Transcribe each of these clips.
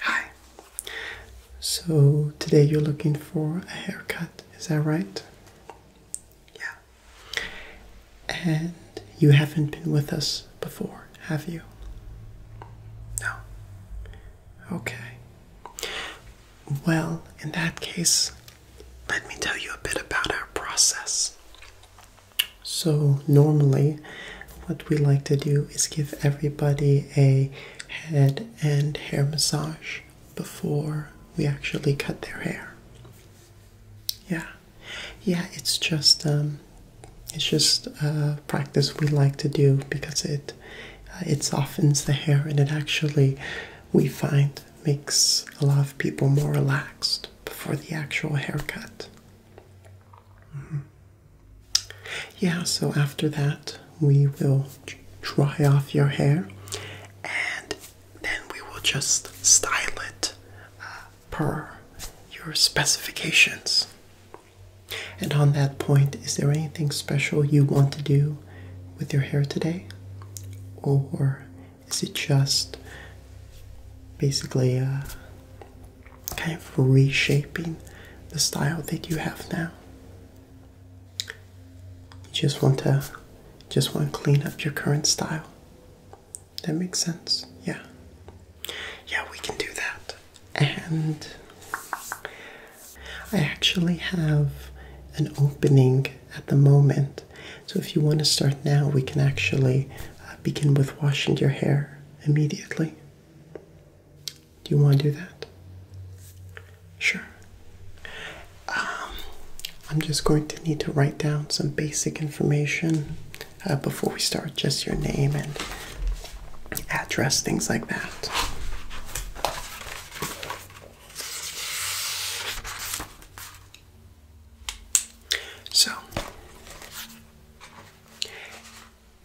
Hi. So today you're looking for a haircut, is that right? Yeah. And you haven't been with us before, have you? No. Okay. Well, in that case, let me tell you a bit about our process. So, normally, what we like to do is give everybody a head and hair massage before we actually cut their hair. Yeah, yeah, it's just um, it's just a uh, practice we like to do because it uh, it softens the hair and it actually we find makes a lot of people more relaxed before the actual haircut. Mm-hmm. Yeah, so after that, we will dry off your hair and then we will just style it uh, per your specifications. And on that point, is there anything special you want to do with your hair today? Or is it just basically uh, kind of reshaping the style that you have now? You just want to just want to clean up your current style. That makes sense. Yeah. Yeah, we can do that. And I actually have an opening at the moment so, if you want to start now, we can actually uh, begin with washing your hair immediately. Do you want to do that? Sure. Um, I'm just going to need to write down some basic information uh, before we start, just your name and address, things like that. So,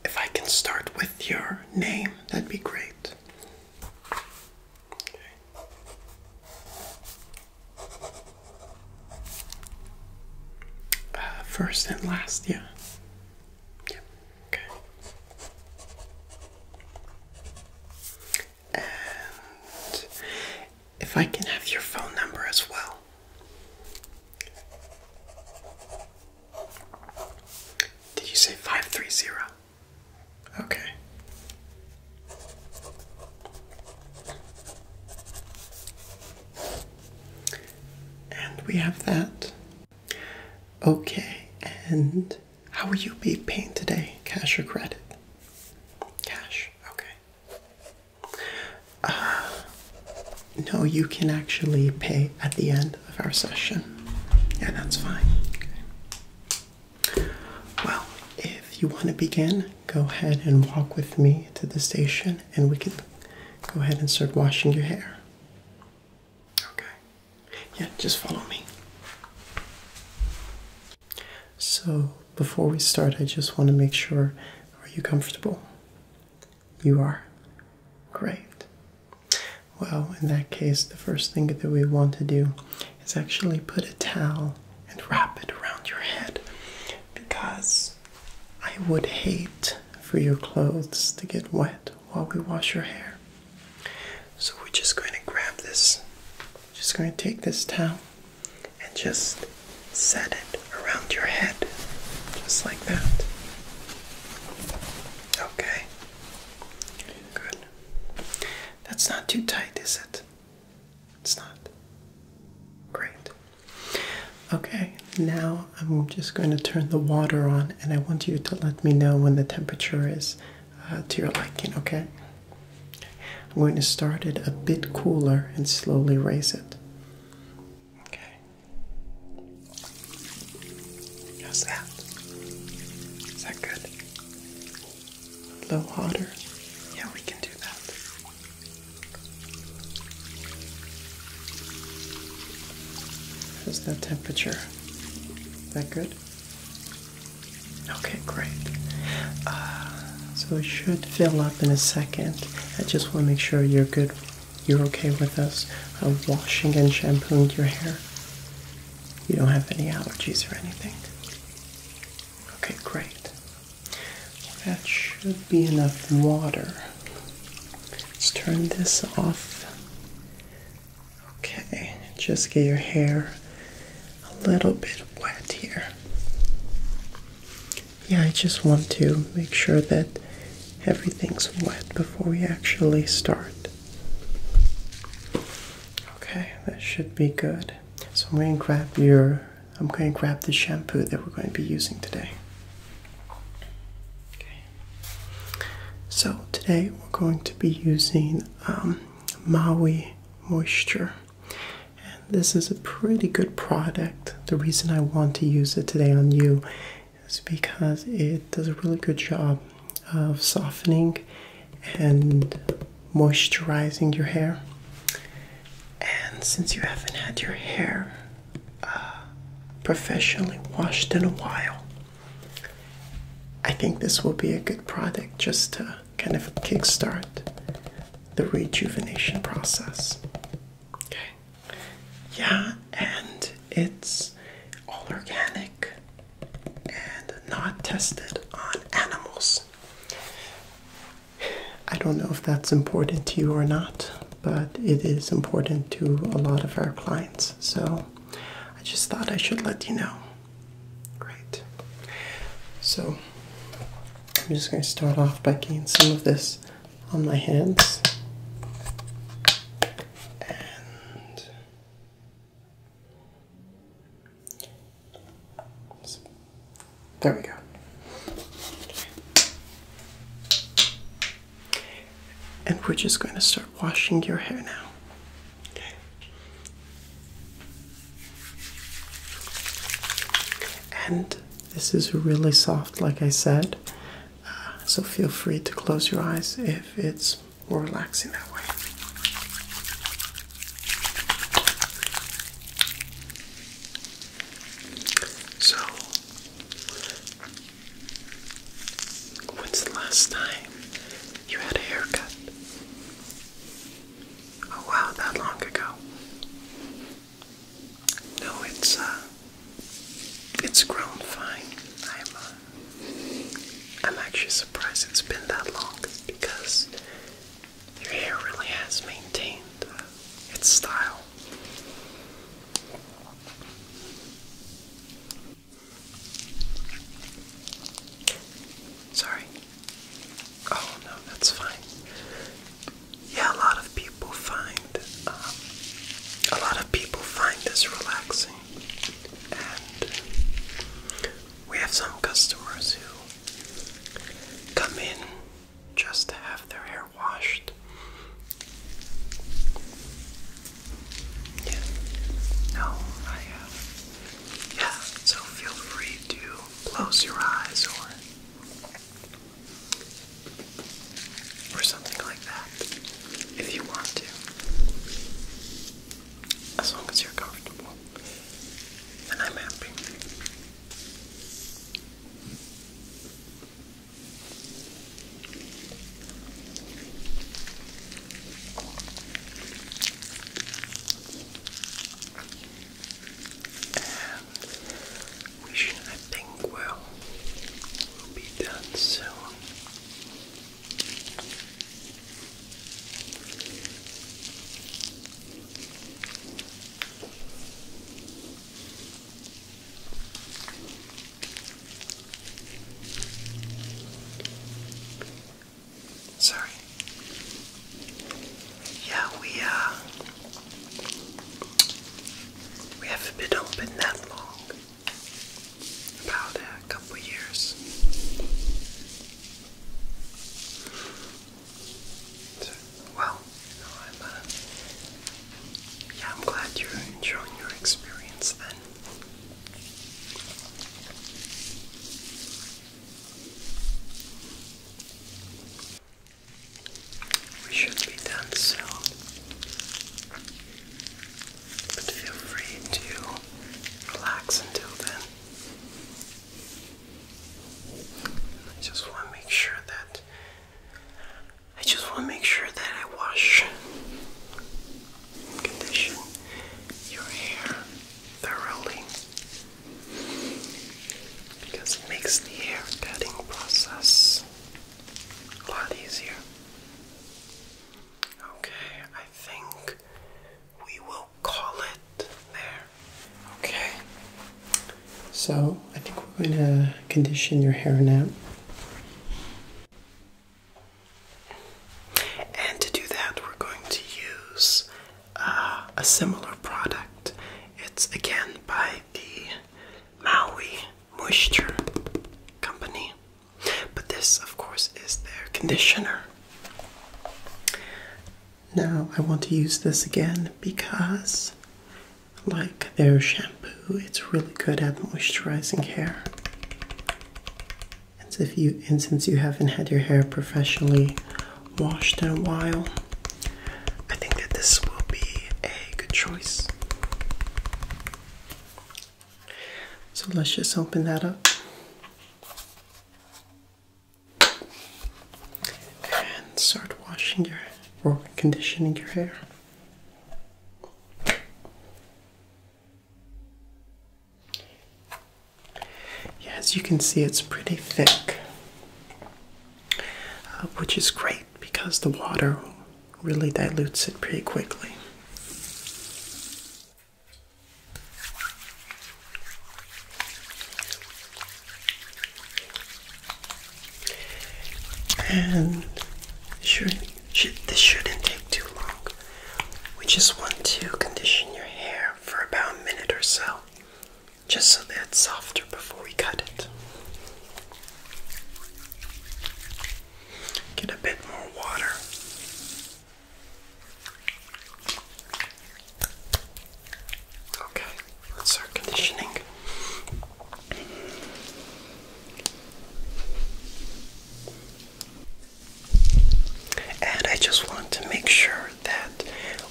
if I can start with your name, that'd be great. Okay. Uh, first and last, yeah. Yeah. Okay. And if I can have your phone number as well. Did you say 530? Okay. And we have that. Okay, and how will you be paying today? Cash or credit? Cash, okay. Uh, no, you can actually pay at the end of our session. Yeah, that's fine. Well, if you want to begin, go ahead and walk with me to the station and we can go ahead and start washing your hair. Okay. Yeah, just follow me. So, before we start, I just want to make sure are you comfortable? You are. Great. Well, in that case, the first thing that we want to do is actually put a towel and wrap it around your head because I would hate for your clothes to get wet while we wash your hair. So we're just going to grab this. Just going to take this towel and just set it around your head, just like that. Okay, good. That's not too tight, is it? It's not. Great. Okay, now I'm just going to turn the water on, and I want you to let me know when the temperature is uh, to your liking, okay? I'm going to start it a bit cooler and slowly raise it. Okay. How's that? Is that good? A little hotter? Yeah, we can do that. How's that temperature? Is that good? Okay, great. Uh, so it should fill up in a second. I just want to make sure you're good. You're okay with us uh, washing and shampooing your hair. You don't have any allergies or anything. Okay, great. That should be enough water. Let's turn this off. Okay, just get your hair a little bit wet here. Yeah, I just want to make sure that everything's wet before we actually start. Okay, that should be good. So I'm going to grab your I'm going to grab the shampoo that we're going to be using today. Okay. So today we're going to be using um, Maui Moisture and this is a pretty good product. The reason I want to use it today on you is because it does a really good job of softening and moisturizing your hair. And since you haven't had your hair uh, professionally washed in a while, I think this will be a good product just to kind of kickstart the rejuvenation process. Okay. Yeah, and it's all organic and not tested on animals. I don't know if that's important to you or not, but it is important to a lot of our clients. So I just thought I should let you know. Great. So I'm just going to start off by getting some of this on my hands. And there we go. And we're just going to start washing your hair now. And this is really soft, like I said, uh, so feel free to close your eyes if it's more relaxing that way. So, when's the last time you had a haircut? Oh wow, that long ago. No, it's uh, it's grown fine. I'm uh, I'm actually surprised it's been that long because your hair really has maintained uh, its style. Sorry. Oh no, that's fine yeah, a lot of people find um, a lot of people find this relaxing, and we have some customers who come in just to have their hair washed. Yeah. No, I have. Uh, yeah, so feel free to close your eyes or or something like that if you want to. As long as you're comfortable, and I'm happy we should, I think, will will be done soon. Sorry. Yeah, we uh we haven't been open that long. About a couple years. well, uh, yeah, I'm glad you're enjoying your experience then. We should be done soon. But feel free to relax until then. I just want to make sure that I just want to make sure that I wash condition your hair thoroughly because it makes the hair cutting process a lot easier. Okay, I think we will call it there. Okay. So, I think we're going to condition your hair now. And to do that, we're going to use uh, a similar product. It's again by the Maui Moisture Company. But this, of course, is their conditioner. Now, I want to use this again because, like their shampoo, it's really good at moisturizing hair. And, if you, and since you haven't had your hair professionally washed in a while, I think that this will be a good choice. So let's just open that up. And start washing your or conditioning your hair. Yeah, as you can see, it's pretty thick, uh, which is great because the water really dilutes it pretty quickly. And this shouldn't take too long. We just want to condition your hair for about a minute or so just so that it's softer before we cut it. Get a bit more water. Okay, conditioning. And I just want to make sure that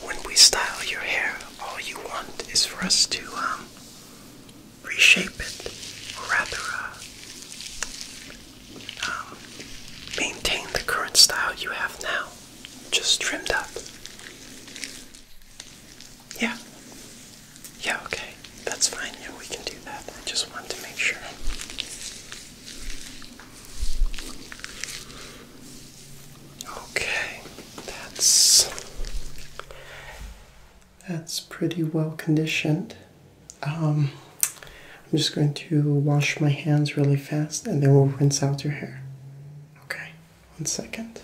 when we style your hair, all you want is for us to um, reshape it, or rather uh, um, maintain the current style you have now, just trimmed up. Yeah. Yeah, okay. That's fine. Yeah, we can do that. I just want to make sure. Okay. That's that's pretty well conditioned. Um, I'm just going to wash my hands really fast and then we'll rinse out your hair. Okay, one second.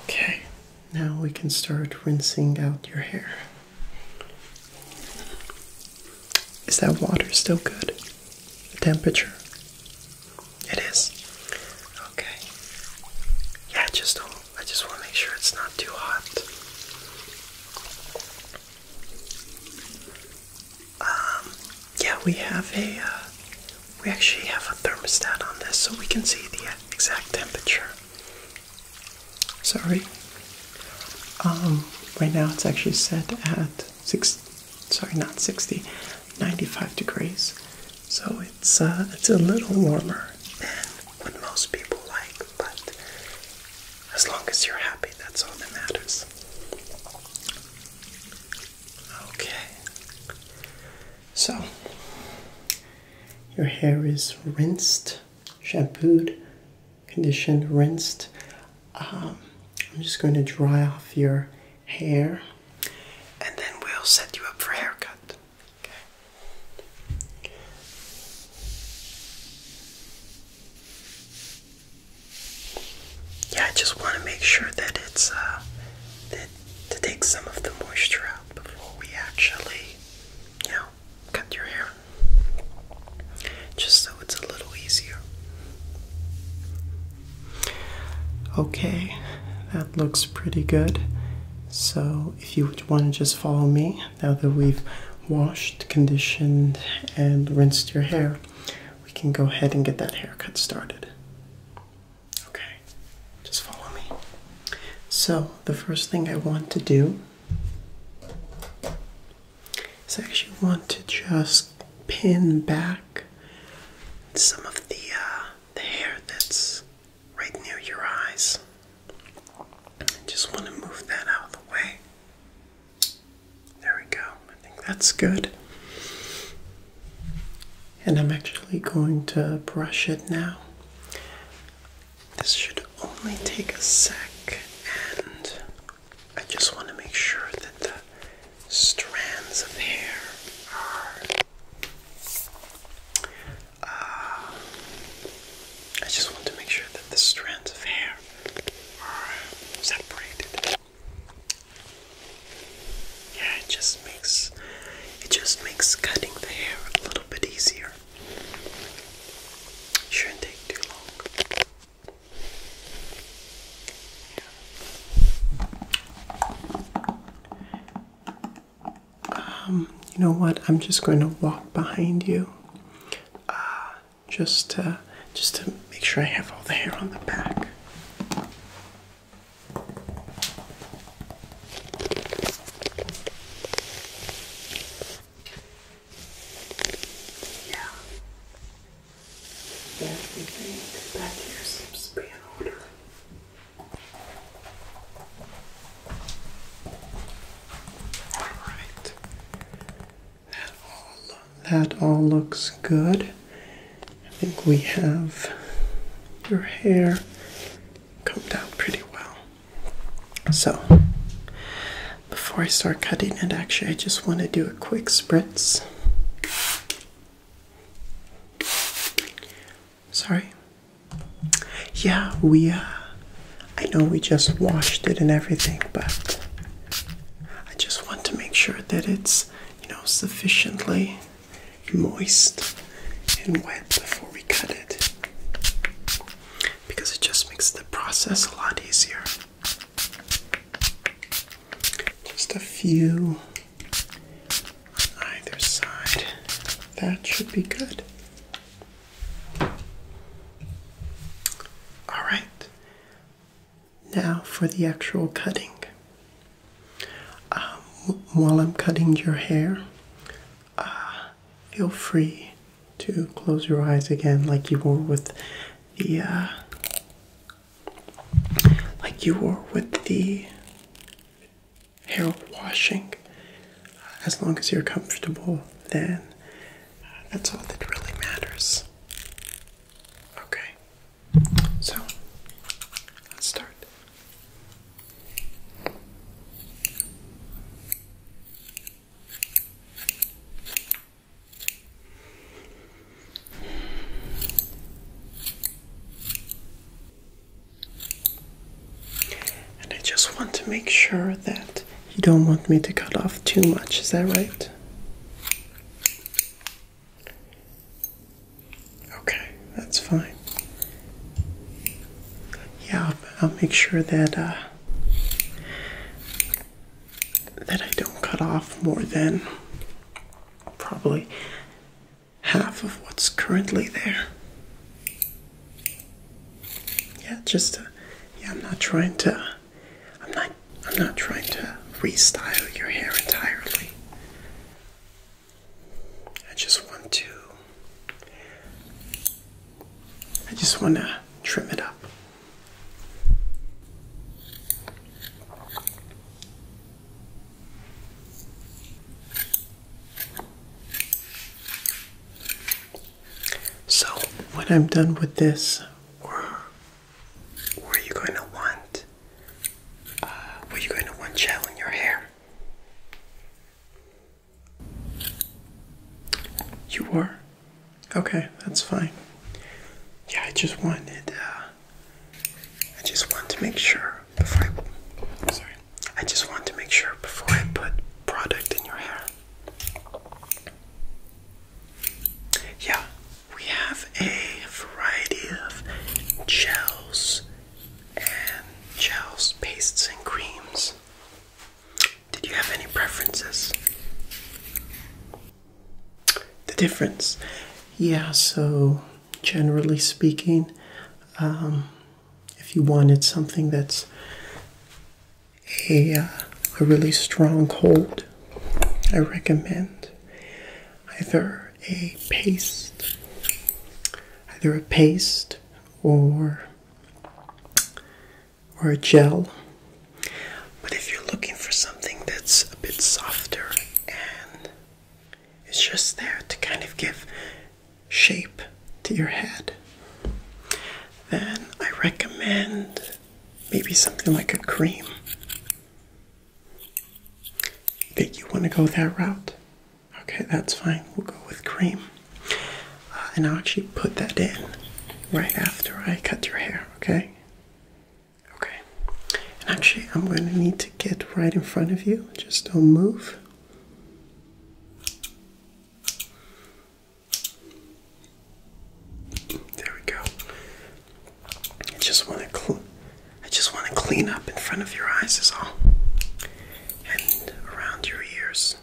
Okay, now we can start rinsing out your hair. Is that water still good? The temperature? It is. Okay. Yeah, just I just want to make sure it's not too hot. Um yeah, we have a uh, we actually have a thermostat on this so we can see the exact temperature. Sorry. Um, right now it's actually set at six. Sorry, not sixty. 95 degrees. So it's uh, it's a little warmer than what most people like, but as long as you're happy, that's all that matters. Okay. So your hair is rinsed shampooed, conditioned, rinsed. Um, I'm just going to dry off your hair and then we'll set you up for haircut. Okay. Yeah, I just want to make sure that it's uh, that to take some of the moisture out before we actually, you know, cut your hair just so it's a little easier. Okay, that looks pretty good. So, if you would want to just follow me now that we've washed, conditioned, and rinsed your hair, we can go ahead and get that haircut started. Okay, just follow me. So, the first thing I want to do so I actually want to just pin back some of the uh, the hair that's right near your eyes. I just want to move that out of the way. There we go. I think that's good. And I'm actually going to brush it now. This should only take a sec, and I just want to make sure that the strands of hair are. Uh, I just want to make sure that the strands of hair are separated. Yeah, it just makes it just makes cutting the hair a little bit easier. Shouldn't take too long. Um, you know what? I'm just going to walk behind you, uh, just to, just to make sure I have all the hair on the back. Yeah. Yeah, back here seems to be in order. Alright. That all that all looks good. I think we have your hair combed out pretty well. So, before I start cutting it, actually, I just want to do a quick spritz. Sorry. Yeah, we, uh, I know we just washed it and everything, but I just want to make sure that it's, you know, sufficiently moist and wet before we cut it because it just makes the process a lot easier. Just a few on either side. That should be good. All right. Now for the actual cutting. Um, while I'm cutting your hair, uh, feel free to close your eyes again, like you were with the, uh, like you were with the hair washing. As long as you're comfortable, then that's all that really matters. Okay, so let's start. And I just want to make sure that you don't want me to cut off too much, is that right? Okay, that's fine. Yeah, I'll, make sure that uh, that I don't cut off more than probably half of what's currently there. Yeah, just to, uh, yeah, I'm not trying to I'm not I'm not trying to restyle your hair entirely. I just want to I just want to trim it up. So, when I'm done with this, or were you going to want, uh, were you going to want gel in your hair? You are Okay, that's fine. Yeah, I just wanted, uh, I just want to make sure before sorry, I just want to make sure before I put product in your hair. Yeah, we have a variety of gels and gels, pastes, and creams. Did you have any preferences? The difference? Yeah, so generally speaking, um, if you wanted something that's a, uh, a really strong hold, I recommend either a paste, either a paste or or a gel. But if you're looking for something that's a bit softer and it's just there to kind of give shape to your head, then I recommend maybe something like a cream. Think you want to go that route? Okay, that's fine. We'll go with cream. Uh, and I'll actually put that in right after I cut your hair, okay? Okay. And actually, I'm going to need to get right in front of you. Just don't move. There we go. I just want to I just want to clean up in front of your eyes is all. And around your ears.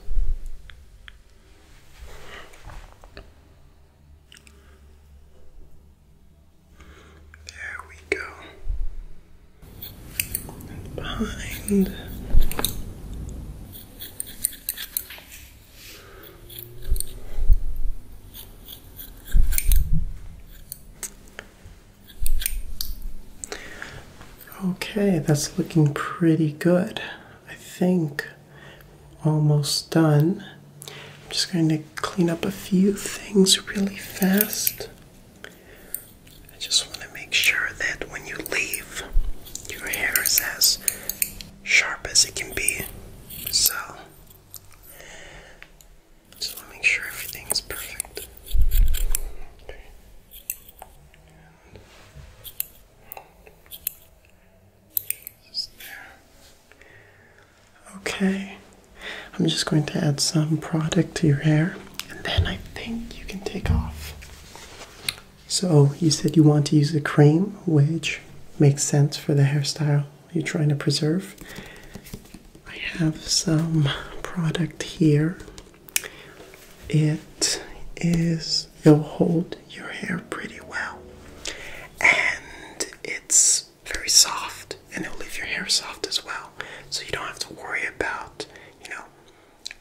There we go. behind. Okay, that's looking pretty good. I think almost done. I'm just going to clean up a few things really fast. I just want to make sure that when you leave, your hair is as sharp as it can be. So, just to make sure everything's perfect. Okay, I'm just going to add some product to your hair and then I think you can take off. So, you said you want to use a cream, which makes sense for the hairstyle you're trying to preserve. I have some product here. It is It'll hold your hair pretty well. And it's very soft and it'll leave your hair soft as well. So you don't have to worry about, you know,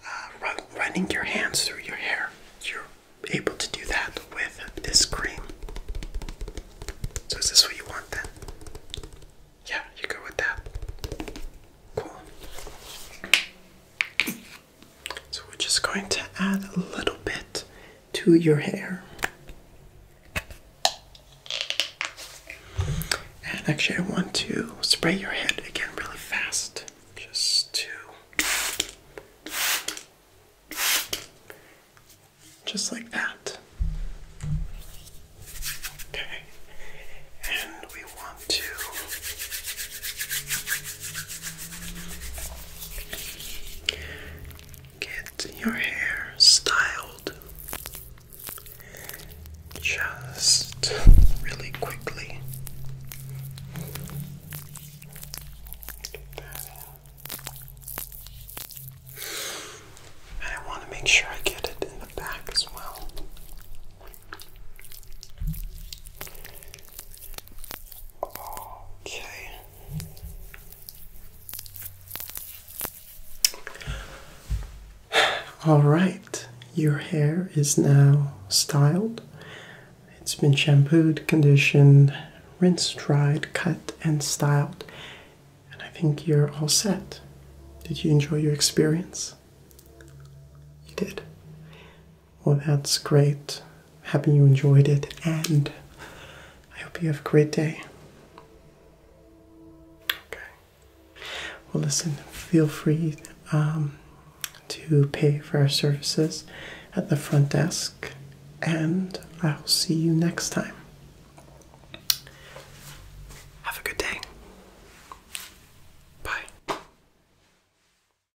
uh, running your hands through your hair. You're able to do that with this cream. So is this what you want then? Yeah, you go with that. Cool. So we're just going to add a little bit to your hair. And actually, I want to spray your head again really fast just to. Just like that. Okay. And we want to Get your hair styled just really quickly. And I want to make sure I get it in the back as well. Okay. All right, your hair is now styled. It's been shampooed, conditioned, rinsed, dried, cut, and styled. And I think you're all set. Did you enjoy your experience? You did. Well, that's great. Happy you enjoyed it, and I hope you have a great day. Okay. Well, listen, feel free um, to pay for our services at the front desk, and I'll see you next time. Have a good day. Bye.